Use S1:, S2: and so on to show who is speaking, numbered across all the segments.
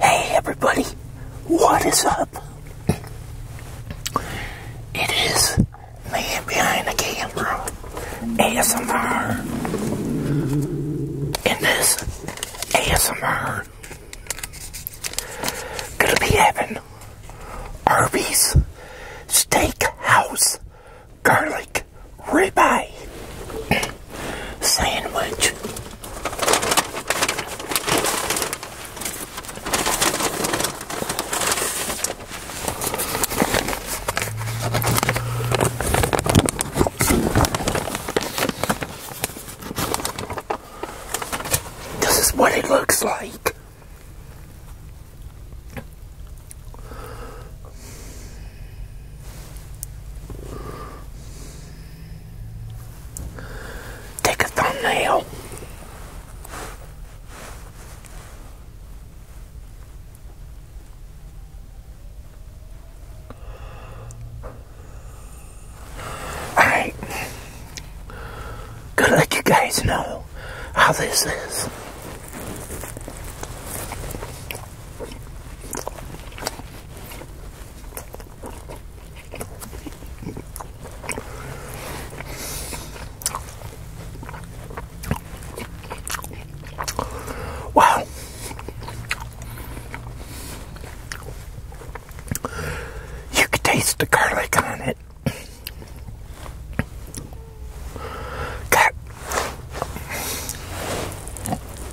S1: Hey everybody, what is up? It is man behind the camera, ASMR. In this ASMR, gonna be having Arby's Steakhouse Garlic steak ribeye sandwich. This is what it looks like. Take a thumbnail. Alright. Gonna let you guys know how this is. Wow. You can taste the garlic on it. God.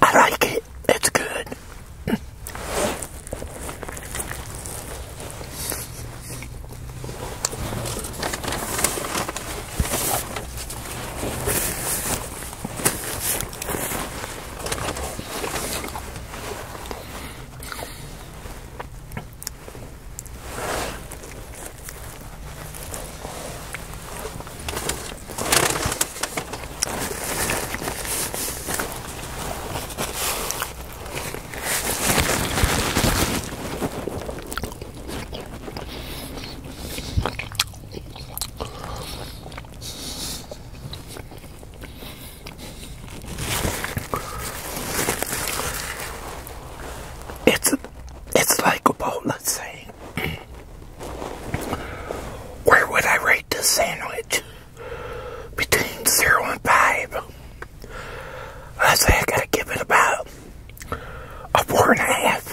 S1: I like it. It's good. It's it's like a bowl, let's say. Where would I rate this sandwich? Between 0 and 5. I say I gotta give it about a four and a half.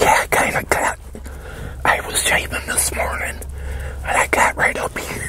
S1: Yeah, I got. I was shaving this morning, and I got right up here.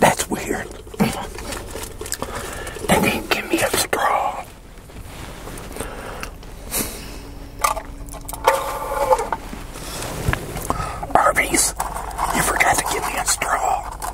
S1: That's weird. They didn't give me a straw. Arby's, you forgot to give me a straw.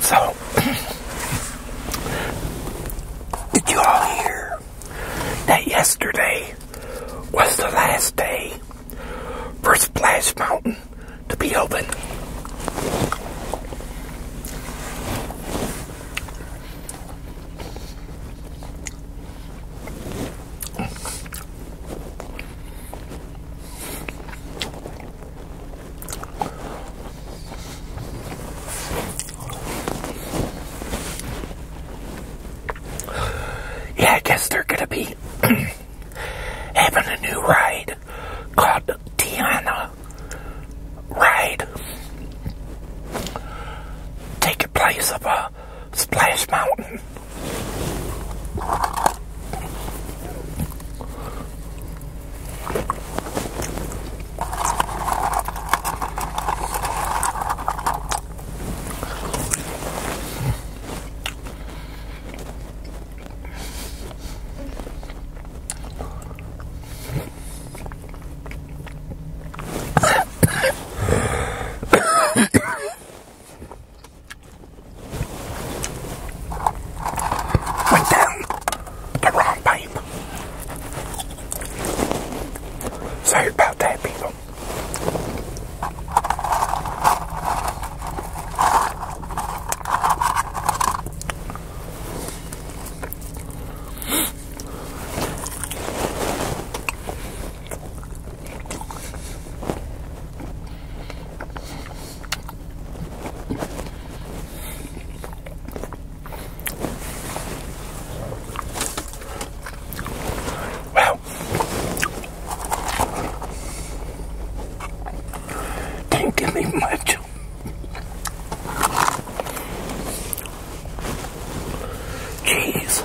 S1: So, did you all hear that yesterday was the last day for Splash Mountain to be open? Yeah, I guess they're gonna be having a new ride called Tiana Ride. Taking place of a Splash Mountain. Went down the wrong pipe. Sorry about that, people. Wow. Didn't give me much. Jeez.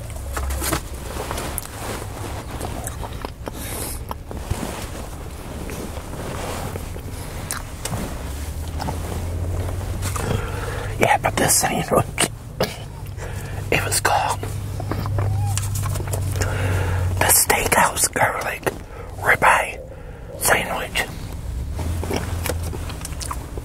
S1: Yeah, but this sandwich, it was called the Steakhouse Garlic Ribeye Sandwich.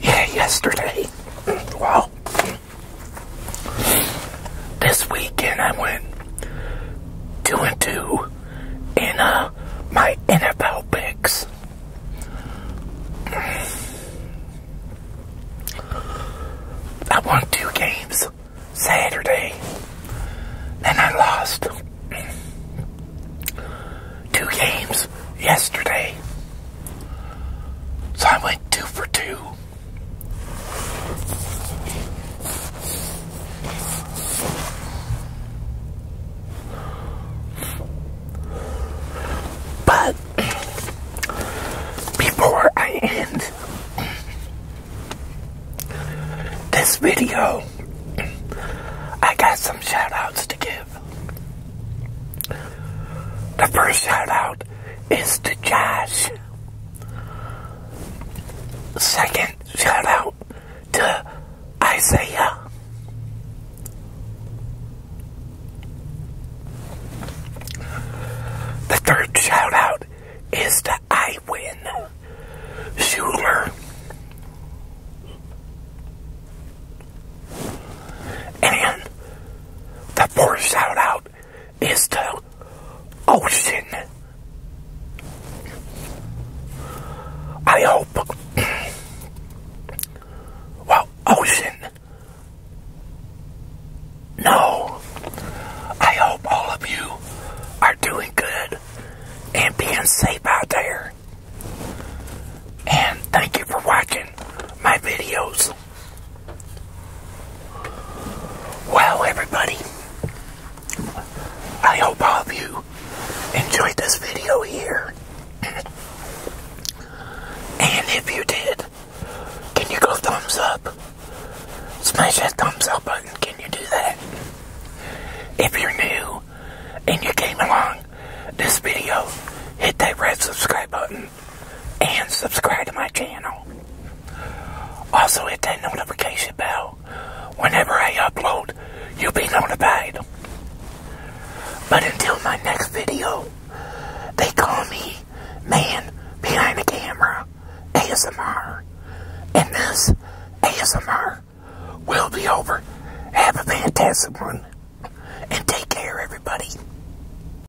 S1: Yeah, yesterday. Well, this weekend I went two and two in uh, my NFL picks. I won two games Saturday, and I lost two games yesterday. So I went two for two. But before I end this video, I got some shout outs to give. The first shout out is to Josh. Second shout out to Isaiah. The third shout out is to I Win Schuler. And the fourth shout out is the ocean. I hope. well, ocean. No. I hope all of you are doing good and being safe out there. And thank you for watching my videos. Wow, everybody, I hope all of you enjoyed this video here. and if you did, can you go thumbs up? Smash that thumbs up button. Can you do that? If you're new and you came along this video, hit that red subscribe button and subscribe to my channel. Also hit that notification bell. Whenever I upload, you'll be notified. But until my next video, they call me Man Behind the Camera ASMR. And this ASMR will be over. Have a fantastic one. And take care, everybody.